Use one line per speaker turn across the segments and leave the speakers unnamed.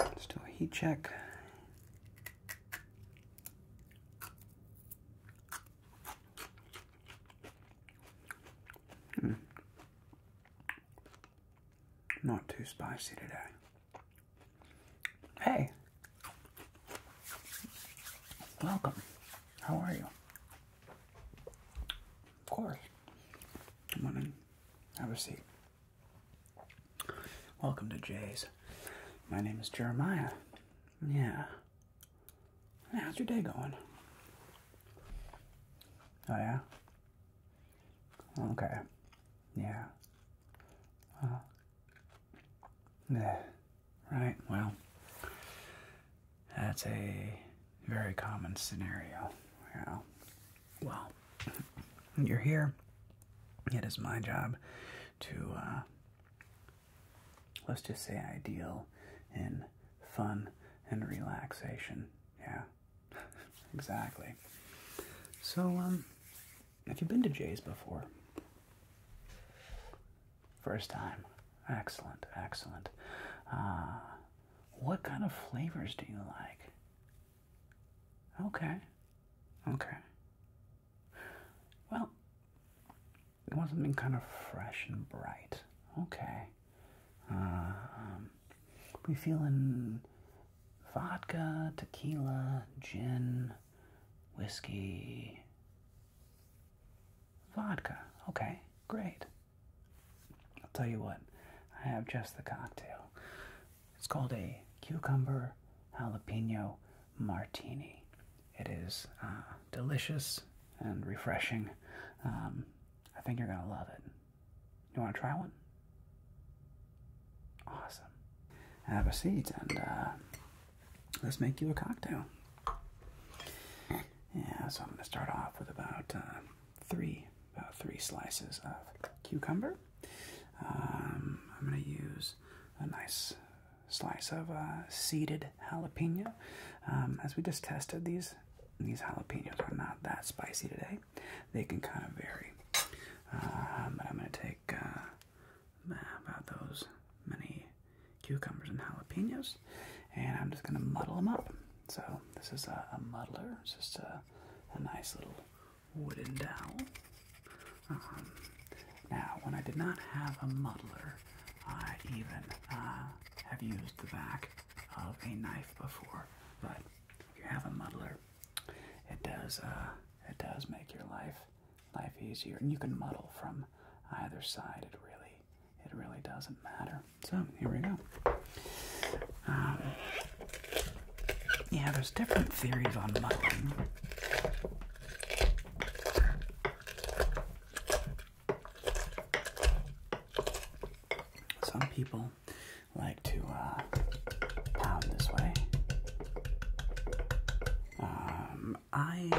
Let's do a heat check. Hmm. Not too spicy today. Hey, welcome. How are you? Of course. Come on in. Have a seat. Welcome to Jay's. My name is Jeremiah. Yeah. How's your day going? Oh, yeah? Okay. Yeah. Uh, yeah. Right, well. That's a very common scenario. You well, you're here. It is my job to, uh, let's just say, ideal in fun and relaxation. Yeah, exactly. So, um, have you been to Jay's before? First time. Excellent, excellent. Ah. What kind of flavors do you like? Okay. Okay. Well, you want something kind of fresh and bright. Okay. Uh, um, we feeling vodka, tequila, gin, whiskey, vodka. Okay, great. I'll tell you what, I have just the cocktail. It's called a cucumber jalapeno martini. It is uh, delicious and refreshing. Um, I think you're going to love it. You want to try one? Awesome. Have a seat and uh, let's make you a cocktail. Yeah, so I'm going to start off with about uh, three about uh, three slices of cucumber. Um, I'm going to use a nice slice of uh, seeded jalapeno. Um, as we just tested, these these jalapenos are not that spicy today. They can kind of vary. Um, but I'm going to take uh, about those many cucumbers and jalapenos, and I'm just going to muddle them up. So this is a, muddler, it's just a, nice little wooden dowel. Um, now, when I did not have a muddler, I even uh, have used the back of a knife before. But if you have a muddler, it does uh, it does make your life life easier, and you can muddle from either side. It really it really doesn't matter. So here we go. Um, yeah, there's different theories on mutton. Some people like to uh, pound this way. Um, I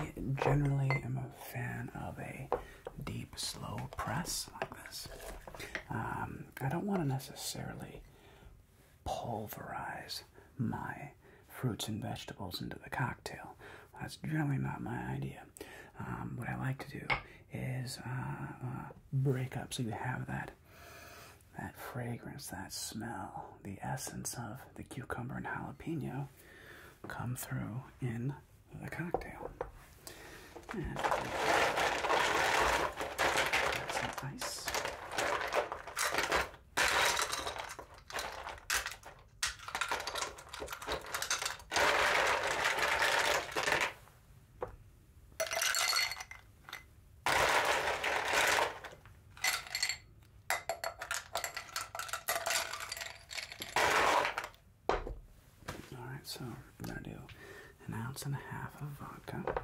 generally am a fan of a deep, slow press like this. Um, I don't want to necessarily pulverize my fruits and vegetables into the cocktail. That's generally not my idea. Um, what I like to do is uh, uh, break up so you have that that fragrance, that smell, the essence of the cucumber and jalapeno come through in of the cocktail. And some ice. Alright, so we're gonna do an ounce and a half of vodka.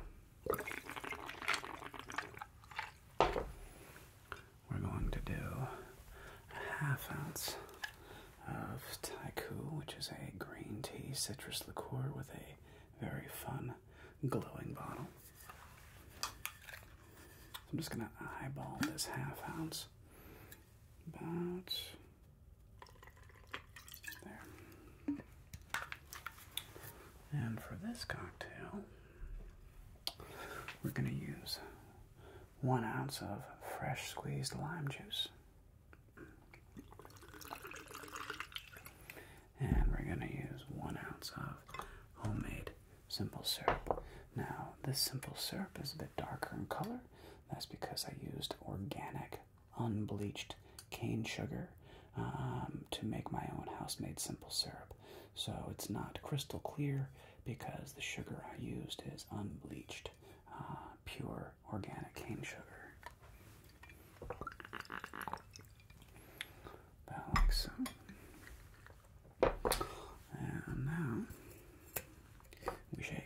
We're going to do a half ounce of Taiku, which is a green tea citrus liqueur with a very fun glowing bottle. I'm just going to eyeball this half ounce about there. And for this cocktail, we're going to use one ounce of fresh squeezed lime juice. And we're going to use one ounce of homemade simple syrup. Now, this simple syrup is a bit darker in color. That's because I used organic unbleached cane sugar um, to make my own house made simple syrup. So it's not crystal clear because the sugar I used is unbleached, uh, pure organic cane sugar. About like so. And now we shake.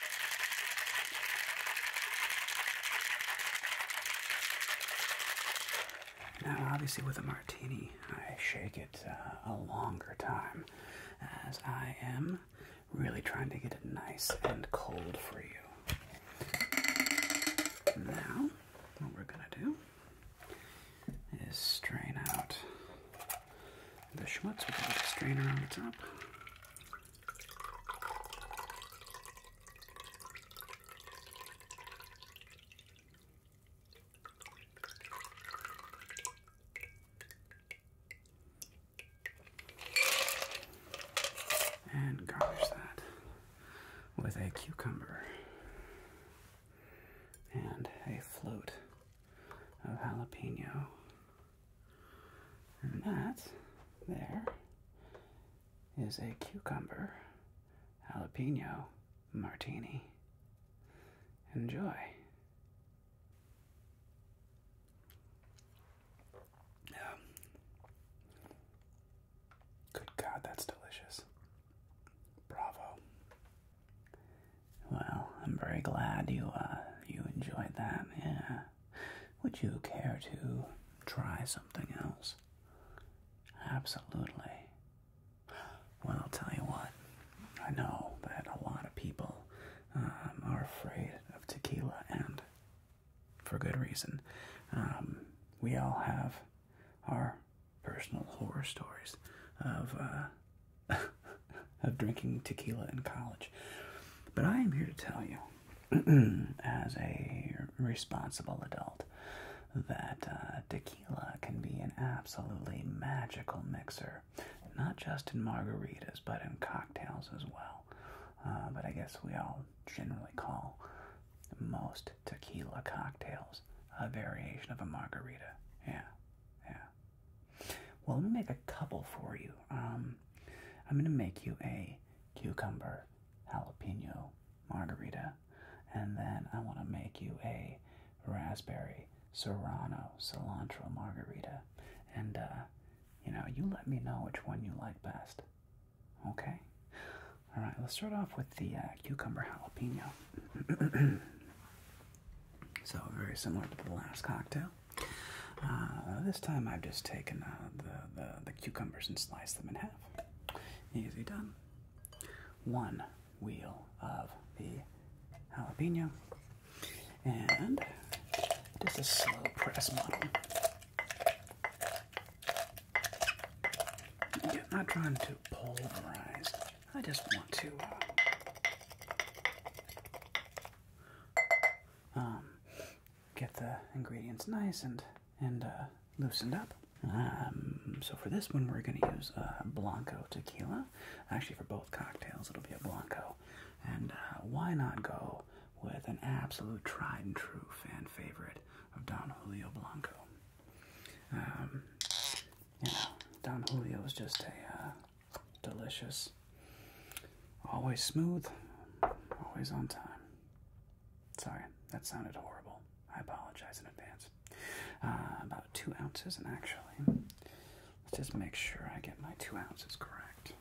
Now, obviously, with a martini, I shake it uh, a longer time as I am really trying to get it nice and cold for you. Now, what we're going to do is strain out the schmutz with a strainer on the top. And garnish that with a cucumber and a float of jalapeno and that there is a cucumber jalapeno martini. Enjoy. good God, that's delicious. Bravo. Well, I'm very glad you uh, you enjoyed that. Yeah. Would you care to try something else? Absolutely. Well, I'll tell you what, I know that a lot of people um, are afraid of tequila, and for good reason. Um, we all have our personal horror stories of uh, of drinking tequila in college, but I am here to tell you as a responsible adult that uh, tequila can be an absolutely magical mixer, not just in margaritas but in cocktails as well. Uh, but I guess we all generally call most tequila cocktails a variation of a margarita. Yeah, yeah. Well, let me make a couple for you. Um, I'm going to make you a cucumber jalapeno margarita. And then I want to make you a raspberry serrano cilantro margarita. And, uh, you know, you let me know which one you like best. Okay? All right, let's start off with the uh, cucumber jalapeno. so, very similar to the last cocktail. Uh, this time I've just taken uh, the, the, cucumbers and sliced them in half. Easy done. One wheel of the jalapeno and just a slow press model. I'm not trying to pulverize. I just want to uh, um, get the ingredients nice and and uh, loosened up. Um, so for this one, we're going to use uh, Blanco tequila. Actually, for both cocktails, it'll be a Blanco. And uh, why not go with an absolute tried and true fan favorite of Don Julio Blanco? Um, you know, Don Julio is just a uh, delicious Always smooth, always on time. Sorry, that sounded horrible. I apologize in advance. Uh, about two ounces, and actually, let's just make sure I get my two ounces correct.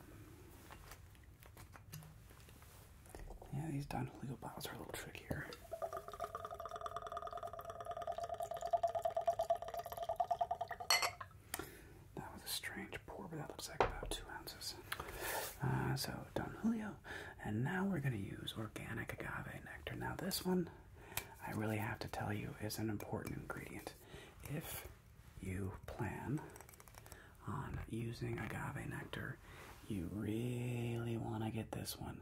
Yeah, these Don Julio bottles are a little trickier. That was a strange pour, but that looks like about two ounces. Uh, so Don Julio, and now we're going to use organic agave nectar. Now this one, I really have to tell you, is an important ingredient. If you plan on using agave nectar, you really want to get this one.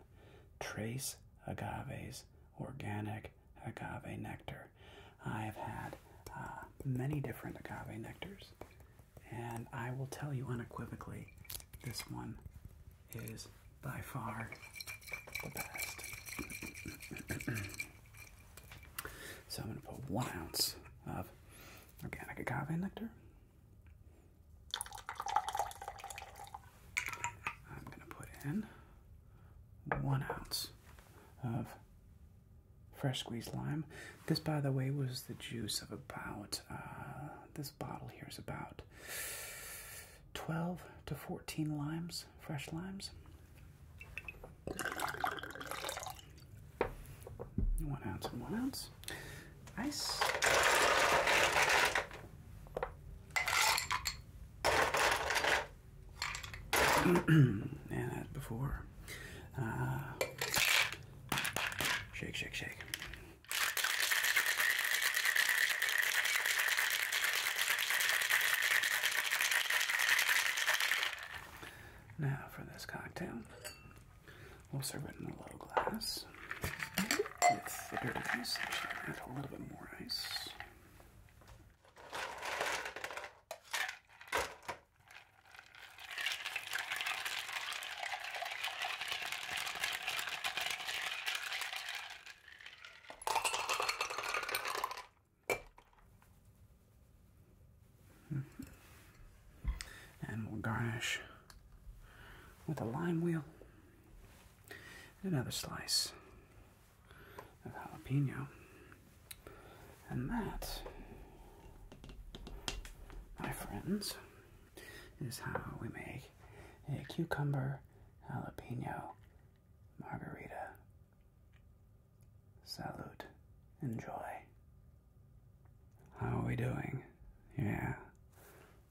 Trace Agaves Organic Agave Nectar. I've had uh, many different agave nectars and I will tell you unequivocally this one is by far the best. so I'm going to put one ounce of organic agave nectar. I'm going to put in one ounce of fresh squeezed lime. This, by the way, was the juice of about, uh, this bottle here is about 12 to 14 limes, fresh limes. You One ounce and one ounce. Ice. and before, uh, shake, shake, shake. Now for this cocktail, we'll serve it in a little glass a little bit more ice. Mm-hmm. And we'll garnish with a lime wheel and another slice of jalapeno. And that, my friends, is how we make a cucumber jalapeno margarita. Salute. Enjoy. How are we doing? Yeah.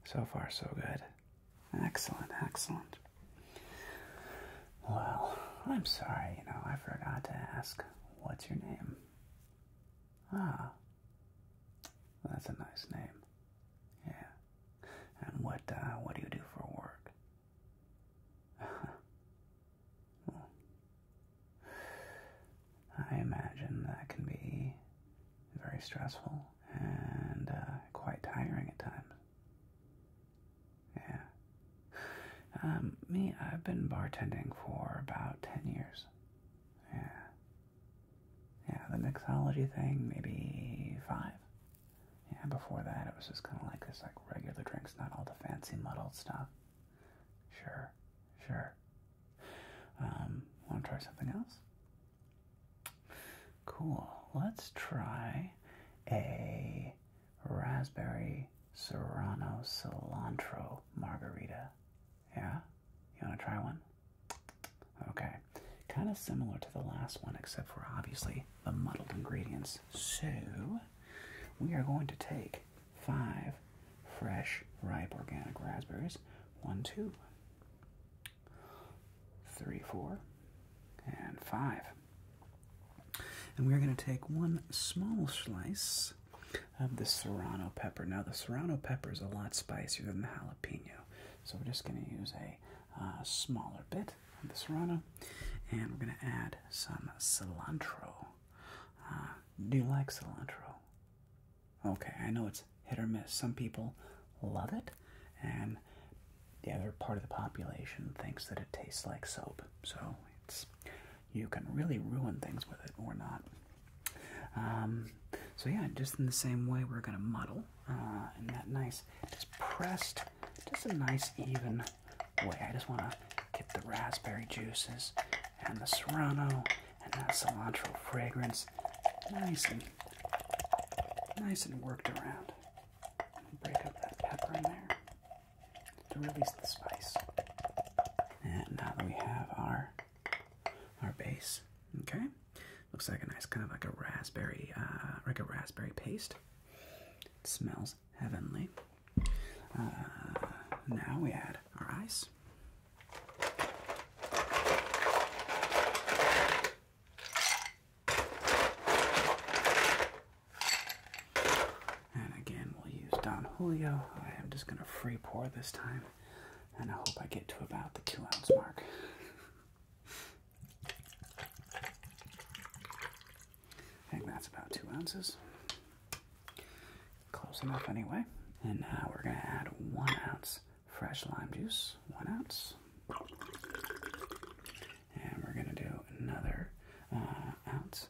So far, so good. Excellent, excellent. Well, I'm sorry, you know, I forgot to ask what's your name? Ah, that's a nice name. Yeah. And what uh, what do you do for work? well, hmm. I imagine that can be very stressful and uh, quite tiring at times. Yeah. Um, me, I've been bartending for about 10 years. Yeah. Yeah, the mixology thing, maybe five. Yeah, before that, it was just kind of like this, like regular drinks, not all the fancy muddled stuff. Sure, sure. Um, want to try something else? Cool. Let's try a raspberry Serrano cilantro margarita. Yeah? You want to try one? Okay. Kind of similar to the last one, except for obviously the muddled ingredients. So, we are going to take five fresh, ripe organic raspberries. One, two, three, four, and five. And we're going to take one small slice of the serrano pepper. Now, the serrano pepper is a lot spicier than the jalapeno, so we're just going to use a uh, smaller bit of the serrano, and we're going to add some cilantro. Uh, do you like cilantro? Okay, I know it's hit or miss. Some people love it, and the other part of the population thinks that it tastes like soap. So it's you can really ruin things with it or not. Um, so yeah, just in the same way, we're going to muddle uh, that nice, just pressed, just a nice even way. I just want to get the raspberry juices and the serrano and that cilantro fragrance nice and nice and worked around. Break up that pepper in there to release the spice. And now that we have our our base, okay, looks like a nice kind of like a raspberry, uh, like a raspberry paste. smells heavenly. Uh, now we add our ice. And again, we'll use Don Julio. I am just going to free pour this time. And I hope I get to about the two ounce mark. I think that's about two ounces. Close enough anyway. And now we're going to add one ounce fresh lime juice, one ounce. And we're going to do another uh, ounce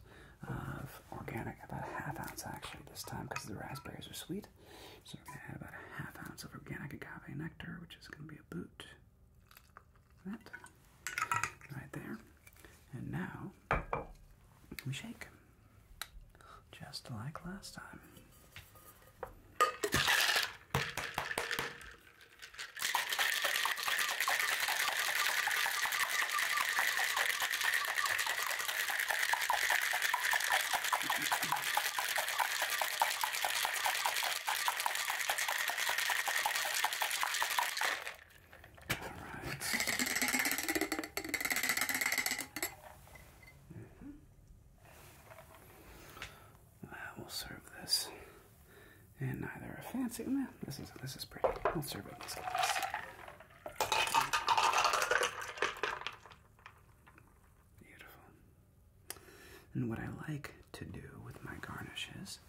of organic, about half ounce actually this time because the raspberries are sweet. So we're going to add about a half ounce of organic agave nectar, which is going to be a boot. That right there. And now we shake, just like last time and neither a fancy. Nah, this is this is pretty. I'll serve it in this glass. Beautiful. And what I like to do with my garnishes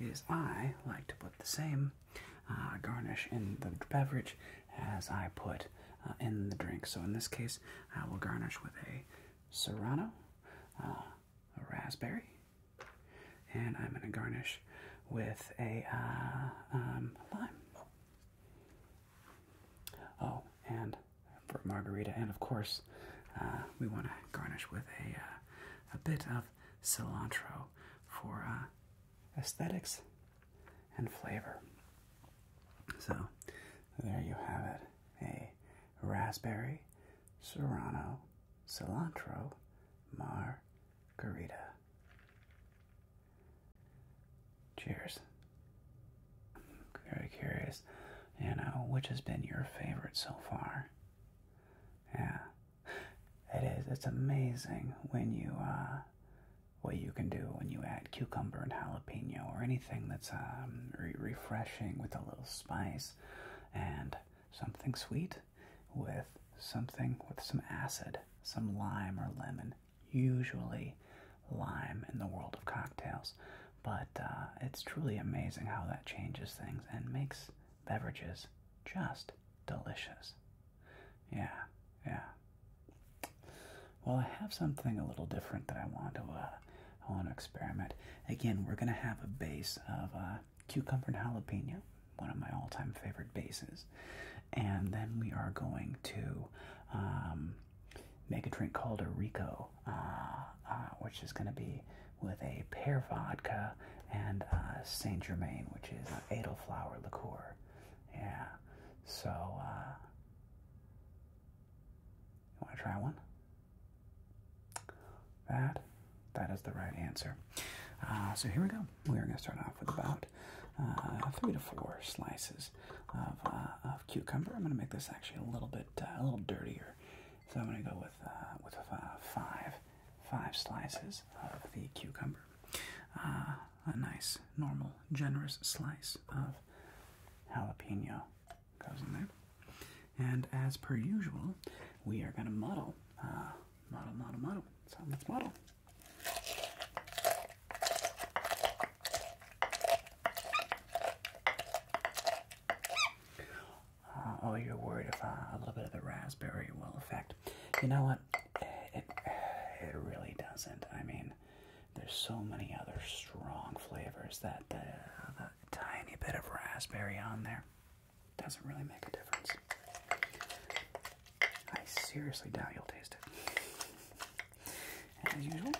is I like to put the same uh, garnish in the beverage as I put uh, in the drink. So in this case, I will garnish with a serrano, uh, a raspberry, and I'm going to garnish with a uh, um, lime. Oh, and for margarita, and of course, uh, we want to garnish with a uh, a bit of cilantro for aesthetics and flavor. So there you have it: a raspberry serrano cilantro margarita. Cheers. very curious, you know, which has been your favorite so far? Yeah, it is. It's amazing when you, uh, what you can do when you add cucumber and jalapeno or anything that's um, refreshing with a little spice and something sweet with something with some acid, some lime or lemon. Usually lime in the world of cocktails, but uh, it's truly amazing how that changes things and makes beverages just delicious. Yeah, yeah. Well, I have something a little different that I want to uh, I want to experiment. Again, we're gonna have a base of uh, cucumber and jalapeno one of my all-time favorite bases. And then we are going to um, make a drink called a Rico, uh, uh, which is going to be with a pear vodka and uh, Saint Germain, which is an Edelflower liqueur. Yeah. So, you want to try one? That, that is the right answer. so here we go we're going to start off with about uh, three to four slices of, uh, cucumber. I'm going to make this actually a little bit uh, a little dirtier, so I'm going to go with with five five slices of the cucumber. a nice, normal, generous slice of jalapeno goes in there. And as per usual, we are going to muddle, model model model. So let's model. Uh, oh, you're worried if uh, a little bit of the raspberry will affect. You know what? It, it really doesn't. I mean, there's so many other strong flavors that uh, the tiny bit of raspberry on there doesn't really make a difference. I seriously doubt you'll taste it. As usual,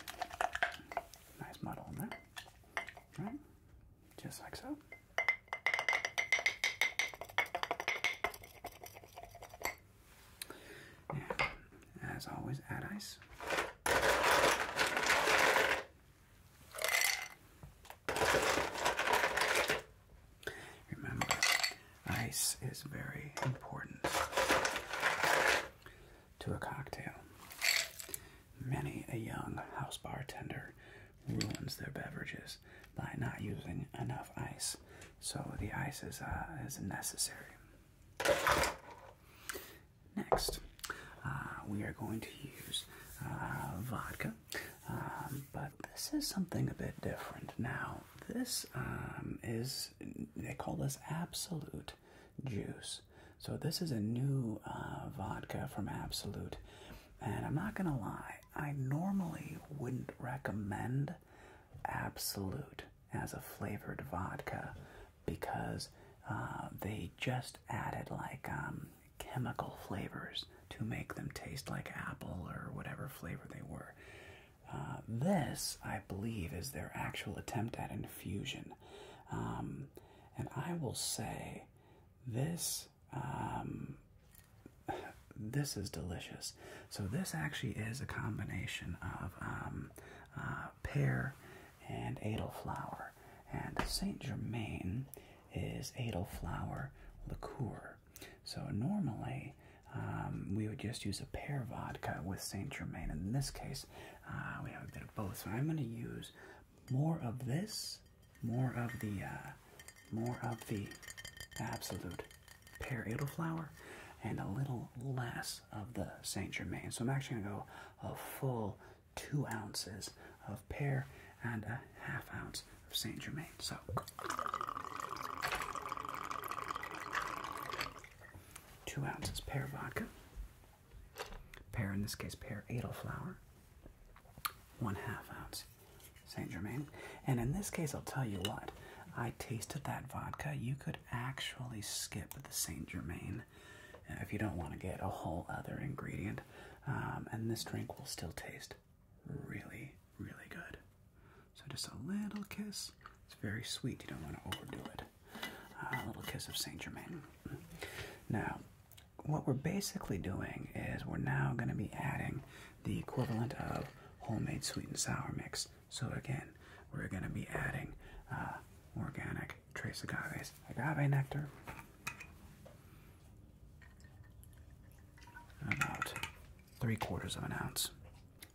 nice muddle in there. Right? Just like so. as always, add ice. Remember, ice is very important to a cocktail. Many a young house bartender ruins their beverages by not using enough ice, so the ice is, uh, necessary. Next, uh, we are going to use uh, vodka. Um, but this is something a bit different. Now, this um, is, they call this Absolute Juice. So, this is a new uh, vodka from Absolute. And I'm not going to lie, I normally wouldn't recommend Absolute as a flavored vodka because uh, they just added like um, chemical flavors to make them taste like apple or whatever flavor they were. Uh, this, I believe, is their actual attempt at infusion. Um, and I will say this um, this is delicious. So this actually is a combination of um, uh, pear and edelflower. And Saint Germain is edelflower liqueur. So normally um, we would just use a pear vodka with Saint Germain. In this case, uh, we have a bit of both. So I'm going to use more of this, more of the, uh, more of the absolute pear edelflower, and a little less of the Saint Germain. So I'm actually going to go a full two ounces of pear and a half ounce of Saint Germain. So two ounces pear vodka. Pear in this case pear edelflower. One half ounce Saint Germain. And in this case I'll tell you what. I tasted that vodka. You could actually skip the Saint Germain uh, if you don't want to get a whole other ingredient. Um, and this drink will still taste really, really good. So just a little kiss. It's very sweet. You don't want to overdo it. a little kiss of Saint Germain. Now, what we're basically doing is we're now going to be adding the equivalent of homemade sweet and sour mix. So again, we're going to be adding uh, organic trace agaves, agave nectar. About three quarters of an ounce.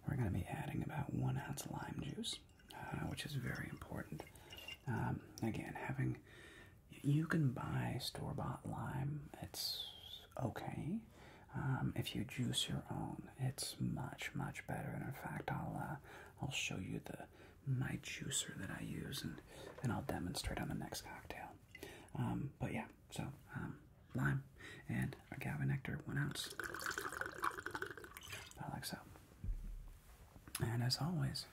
We're going to be adding about one ounce lime juice, uh, which is very important. Um, again, having you can buy store bought lime, it's okay. Um, if you juice your own, it's much much better. And in fact, I'll uh, I'll show you the my juicer that I use, and and I'll demonstrate on the next cocktail. Um, but yeah, so um, lime and agave nectar, one ounce. like so. And as always,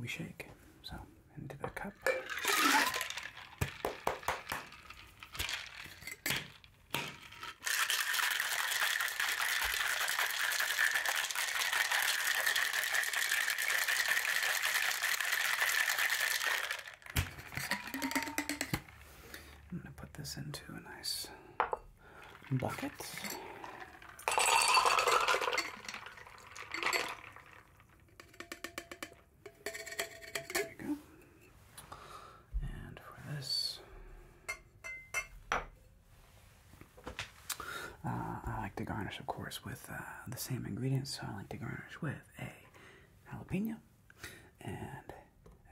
we shake. So into the cup. I'm going to put this into a nice bucket. There we go. And for this, uh, I like to garnish, of course, with uh, the same ingredients, so I like to garnish with a jalapeno and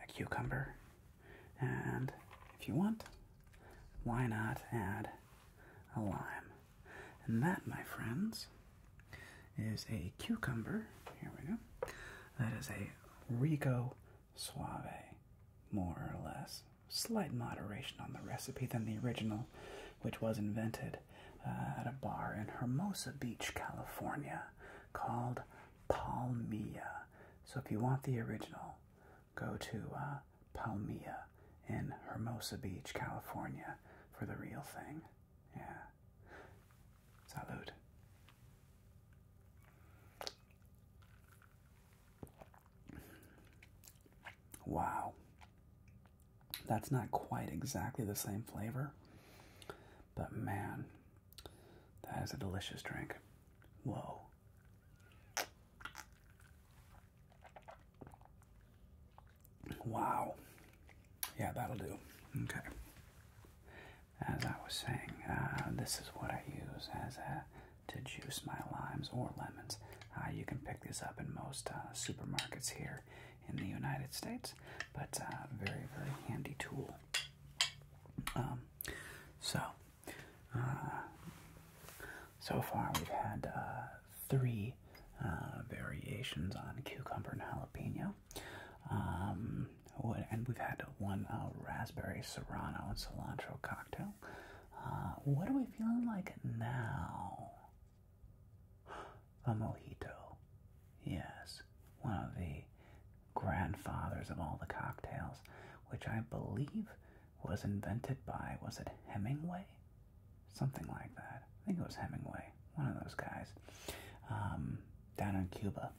a cucumber. And if you want, why not add a lime? And that, my friends, is a cucumber. Here we go. That is a Rico Suave, more or less. Slight moderation on the recipe than the original, which was invented uh, at a bar in Hermosa Beach, California, called Palmia. So if you want the original, go to uh, Palmia in Hermosa Beach, California, for the real thing. Yeah. Salud. Wow. That's not quite exactly the same flavor, but man, that is a delicious drink. Whoa. Wow. Yeah, that'll do. Okay. As I was saying, uh, this is what I use as a, to juice my limes or lemons. Uh, you can pick this up in most uh, supermarkets here in the United States, but uh, very, very handy tool. Um, so, uh, so far we've had uh, three uh, variations on cucumber and jalapeno. Um, and we've had one raspberry serrano and cilantro cocktail. what are we feeling like now? a mojito. Yes, one of the grandfathers of all the cocktails, which I believe was invented by, was it Hemingway? Something like that. I think it was Hemingway, one of those guys, um, down in Cuba.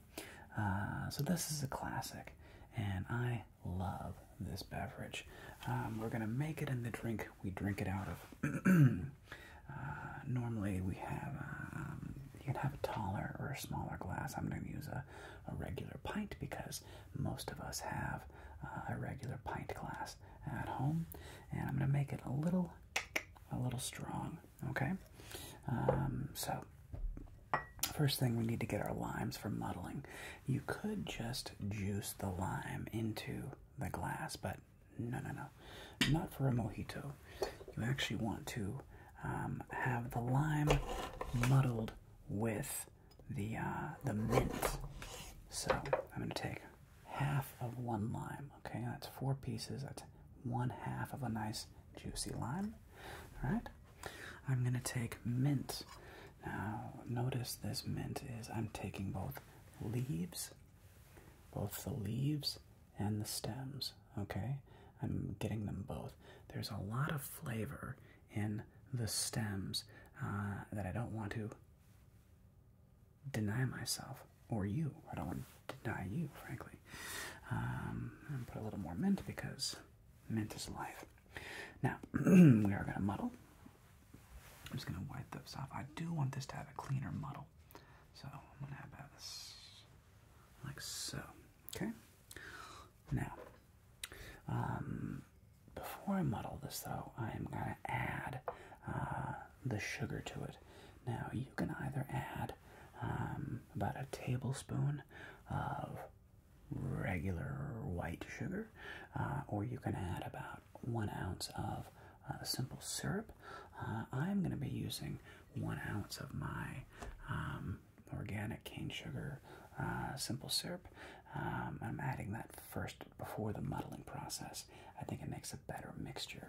Uh, so this is a classic, and I love this beverage. Um, we're gonna make it in the drink we drink it out of. Uh, normally we have um, you can have a taller or a smaller glass. I'm going to use a, a regular pint because most of us have uh, a regular pint glass at home, and I'm going to make it a little a little strong. Okay, um, so. First thing we need to get our limes for muddling. You could just juice the lime into the glass, but no, no, no. Not for a mojito. You actually want to um, have the lime muddled with the uh, the mint. So I'm going to take half of one lime. Okay, that's four pieces. That's one half of a nice juicy lime. All right. I'm going to take mint. Now, notice this mint is I'm taking both leaves, both the leaves and the stems okay? I'm getting them both. There's a lot of flavor in the stems uh, that I don't want to deny myself or you. I don't want to deny you, frankly. Um, I'm put a little more mint because mint is life. Now, we are going to muddle. I'm just going to wipe this off. I do want this to have a cleaner muddle. So I'm gonna add this like so. Okay. Now, um, before I muddle this though, I am gonna add uh, the sugar to it. Now you can either add um, about a tablespoon of regular white sugar, uh, or you can add about one ounce of uh, simple syrup. Uh, I'm going to be using one ounce of my um, organic cane sugar uh, simple syrup. Um, I'm adding that first before the muddling process. I think it makes a better mixture.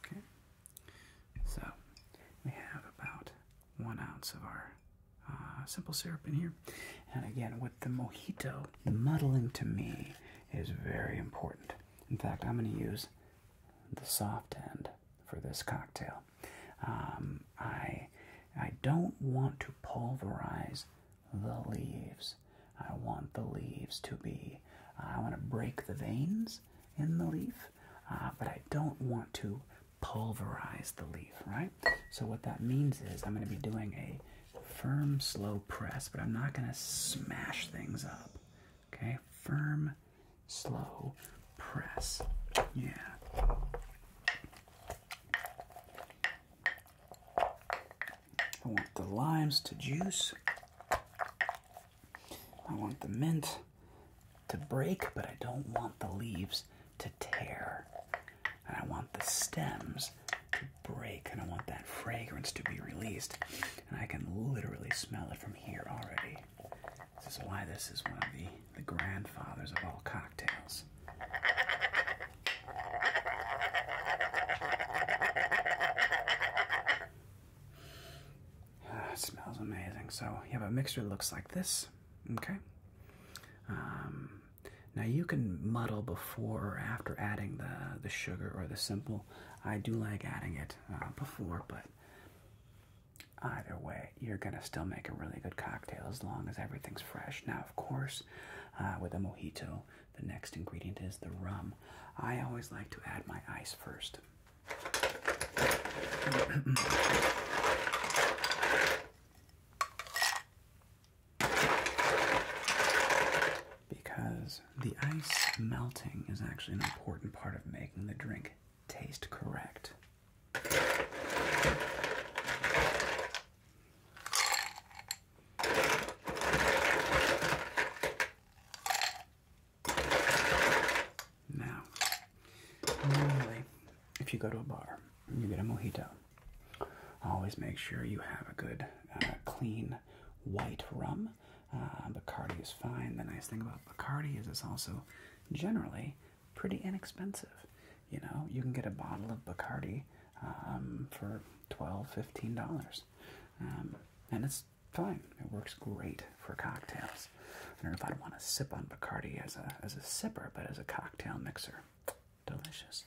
Okay. So we have about one ounce of our uh, simple syrup in here. And again, with the mojito, the muddling to me is very important. In fact, I'm going to use the soft end for this cocktail. Um, I, I don't want to pulverize the leaves. I want the leaves to be, I want to break the veins in the leaf, uh, but I don't want to pulverize the leaf, right? So what that means is I'm going to be doing a firm, slow press, but I'm not going to smash things up. Okay, firm, slow press. Yeah. I want the limes to juice. I want the mint to break, but I don't want the leaves to tear. And I want the stems break and I want that fragrance to be released. And I can literally smell it from here already. This is why this is one of the, grandfathers of all cocktails. Ah, smells amazing. So you have a mixture that looks like this, okay? Um, now you can muddle before or after adding the the sugar or the simple I do like adding it uh, before, but either way, you're gonna still make a really good cocktail as long as everything's fresh. Now, of course, uh, with a mojito, the next ingredient is the rum. I always like to add my ice first because the ice melting is actually an important part of making the drink taste correct. Now, normally, if you go to a bar and you get a mojito, always make sure you have a good, uh, clean white rum uh, Bacardi is fine. The nice thing about Bacardi is it's also generally pretty inexpensive. You know, you can get a bottle of Bacardi um, for $12, $15. Um, and it's fine. It works great for cocktails. I don't know if I'd want to sip on Bacardi as a, as a sipper, but as a cocktail mixer. Delicious.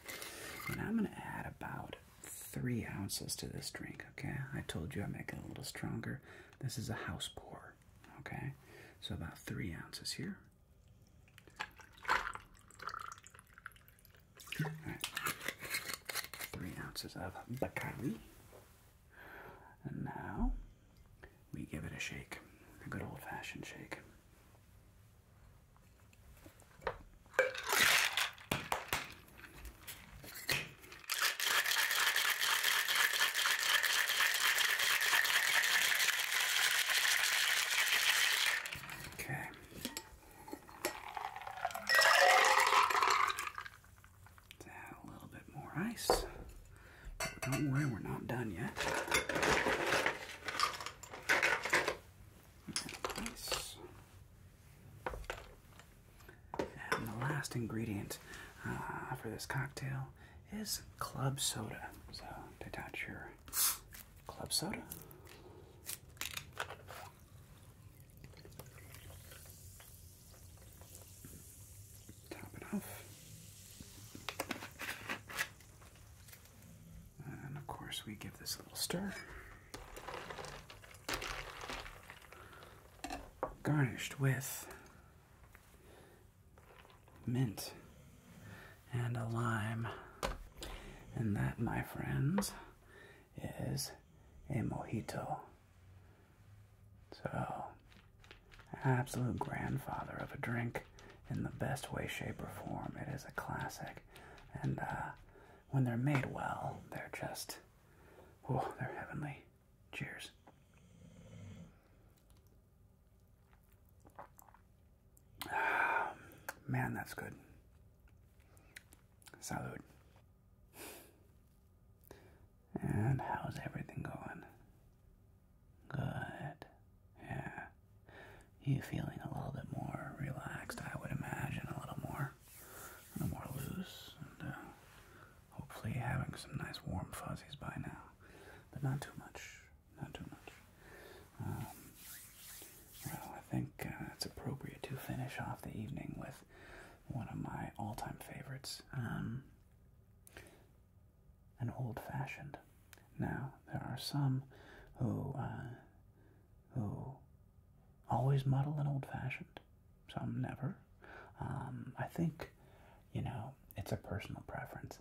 And I'm going to add about three ounces to this drink, okay? I told you I make it a little stronger. This is a house pour, okay? So about three ounces here. right. Three ounces of Bacardi. And now we give it a shake, a good old fashioned shake. Okay. add a little bit more ice. don't worry, we're not done yet. Ice. And the last ingredient uh, for this cocktail is club soda. So take your club soda. Top it off. And of course, we give this a little stir garnished with mint and a lime. And that, my friends, is a mojito. So, absolute grandfather of a drink in the best way, shape, or form. It is a classic. And uh, when they're made well, they're just Oh, they're heavenly. Cheers. Ah, man, that's good. Salud. And how's everything going? Good. Yeah. You feeling a little bit more relaxed, I would imagine, a little more no more loose, and uh, hopefully having some nice warm fuzzies by now, but not too much, not too much. Um, well, I think uh, it's appropriate to finish off the evening with one of my all-time favorites, um, an old-fashioned. Now, there are some who, uh, who always muddled and old fashioned. Some never. Um, I think, you know, it's a personal preference.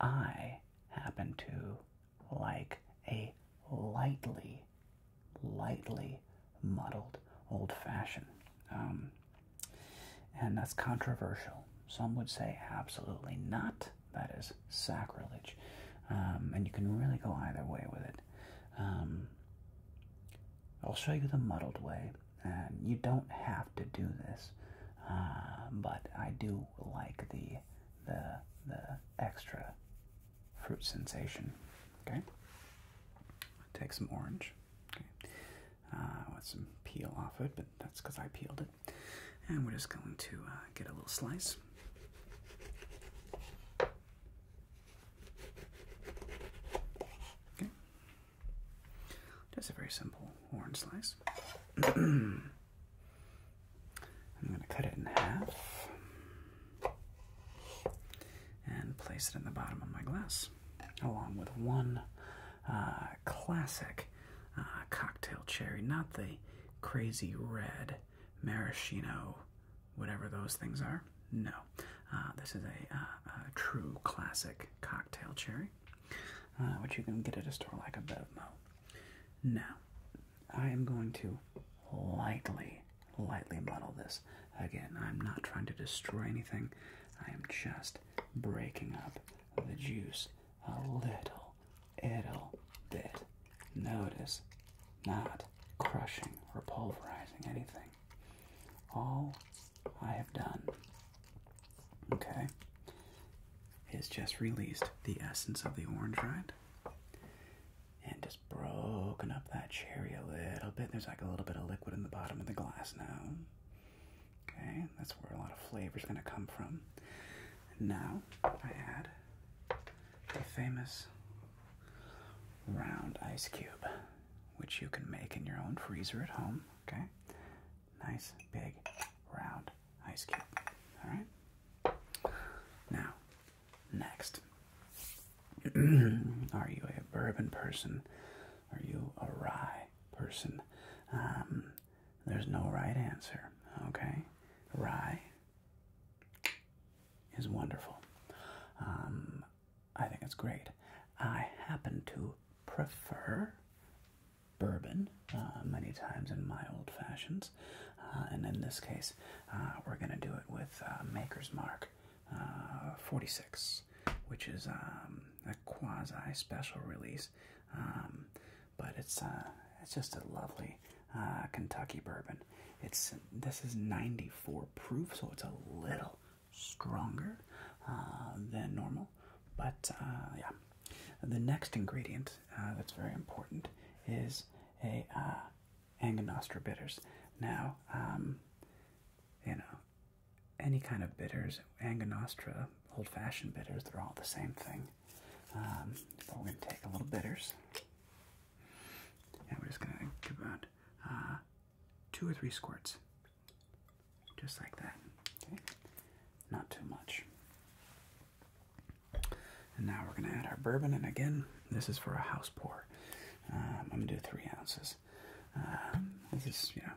I happen to like a lightly, lightly muddled old fashioned. Um, and that's controversial. Some would say absolutely not. That is sacrilege. Um, and you can really go either way with it. I'll show you the muddled way, and you don't have to do this, uh, but I do like the the the extra fruit sensation. Okay, take some orange. Uh, with some peel off it, but that's because I peeled it, and we're just going to uh, get a little slice. Okay. Just a very simple orange slice. I'm going to cut it in half and place it in the bottom of my glass, along with one uh, classic uh, cocktail cherry, not the crazy red maraschino whatever those things are. No, uh, this is uh, a, true classic cocktail cherry, uh, which you can get at a store like a Mo. Now, I am going to lightly, lightly muddle this. Again, I'm not trying to destroy anything. I am just breaking up the juice a little, little bit. Notice, not crushing or pulverizing anything. All I have done, okay, is just released the essence of the orange, rind And just broken up that cherry a little bit. There's like a little bit of liquid in the bottom of the glass now. Okay, that's where a lot of flavor is going to come from. now I add a famous round ice cube which you can make in your own freezer at home, okay? Nice big round ice cube. All right? Now, next. Are you a bourbon person? Are you a rye person? Um, there's no right answer, okay? Rye is wonderful. Um, I think it's great. I happen to prefer bourbon uh, many times in my old fashions, uh, and in this case, uh, we're going to do it with Maker's Mark 46, which is um, a quasi special release, um, but it's it's just a lovely Kentucky bourbon. It's this is 94 proof, so it's a little stronger uh, than normal. But uh, yeah, the next ingredient uh, that's very important is a uh, Angostura bitters. Now, um, you know, any kind of bitters, Angostura, old-fashioned bitters, they're all the same thing. but um, we're going to take a little bitters, and we're just going to about two or three squirts, just like that. not too much. And now we're going to add our bourbon, and again, this is for a house pour. Um, I'm going to do three ounces. Um, this is, you know,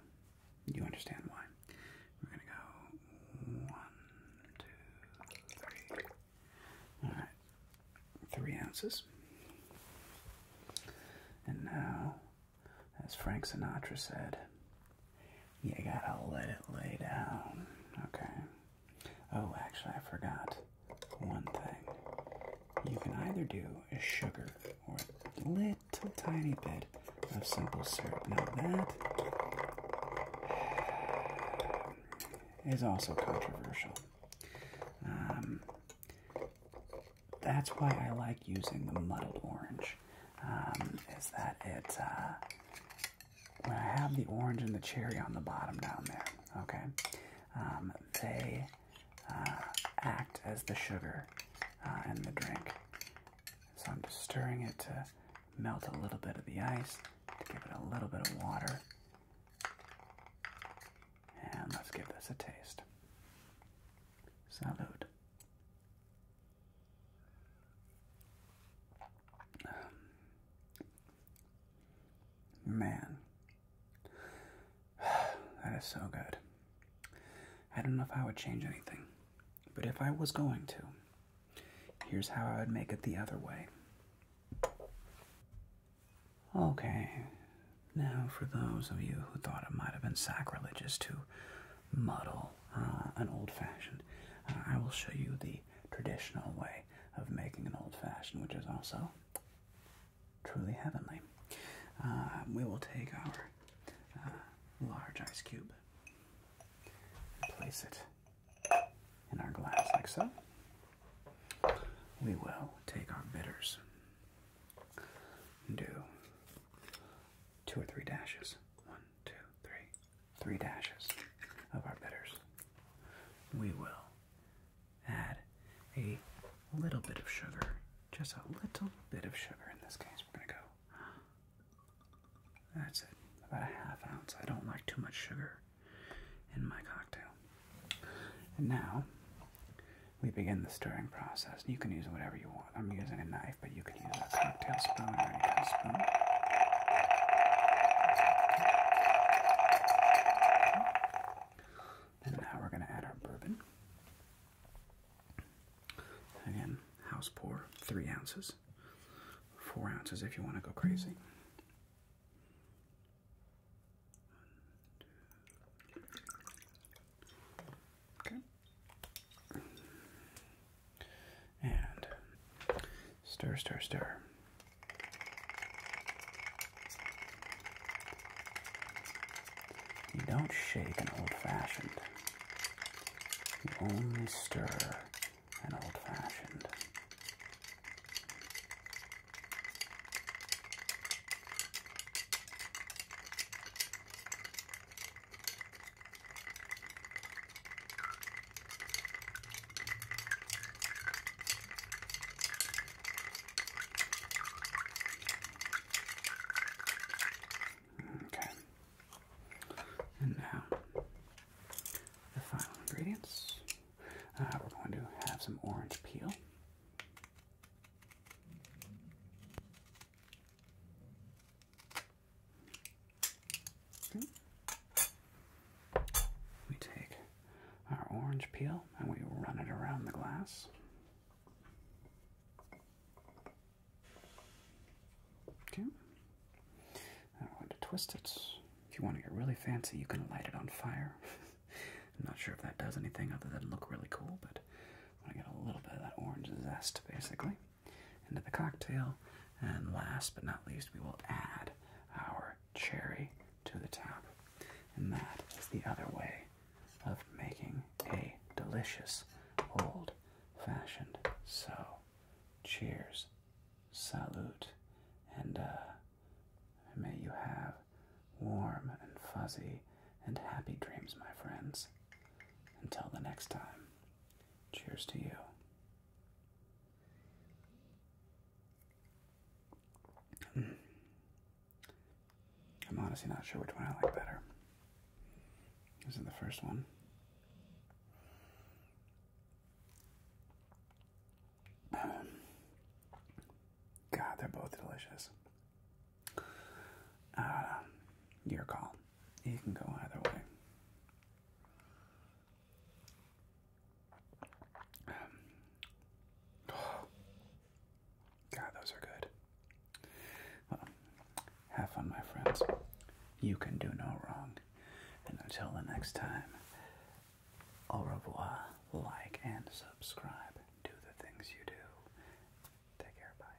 you understand why. We're going to go one, two, three. All right, three ounces. And now, as Frank Sinatra said, you gotta let it lay down. Okay. Oh, actually, I forgot one thing. You can either do a sugar or a little tiny bit of simple syrup. Now, that is also controversial. Um, that's why I like using the muddled orange. Um, is that it? Uh, when I have the orange and the cherry on the bottom down there, okay, um, they uh, act as the sugar uh, in the drink. So I'm just stirring it to melt a little bit of the ice, to give it a little bit of water. And let's give this a taste. Salud. Um, man, that is so good. I don't know if I would change anything, but if I was going to, here's how I would make it the other way. Okay, now for those of you who thought it might have been sacrilegious to muddle uh, an old fashioned, uh, I will show you the traditional way of making an old fashioned, which is also truly heavenly. Uh, we will take our large ice cube and place it in our glass like so we will take our bitters and do two or three dashes. One, two, three, three dashes of our bitters. We will add a little bit of sugar, just a little bit of sugar in this case. We're going to go, that's it, about a half ounce. I don't like too much sugar in my cocktail. And now we begin the stirring process. You can use whatever you want. I'm using a knife, but you can use a cocktail spoon or any kind of spoon. And now we're going to add our bourbon. Again, house pour, three ounces, four ounces if you want to go crazy. Okay. And stir, stir, stir. You don't shake an old fashioned. You only stir an old fashioned. Okay. And now the final ingredients. Uh, we're going to have some orange peel. We take our orange peel and we run it around the glass. Okay. I'm going to twist it. If you want to get really fancy, you can light it on fire. I'm not sure if that does anything other than look really cool, but I want to get a little bit of that orange zest basically into the cocktail. And last but not least, we will add our cherry to the top. And that is the other way of making a delicious old fashioned. So, cheers, salute, and uh, may you have warm and fuzzy, and happy dreams, my friends. Until the next time, cheers to you. Hmm. I'm honestly not sure which one I like better. This is the first one. God, they're both delicious. Um, your call. You can go either way. Um, God, those are good. Well, have fun, my friends. You can do no wrong. And until the next time, au revoir, like, and subscribe do the things you do. Take care. Bye.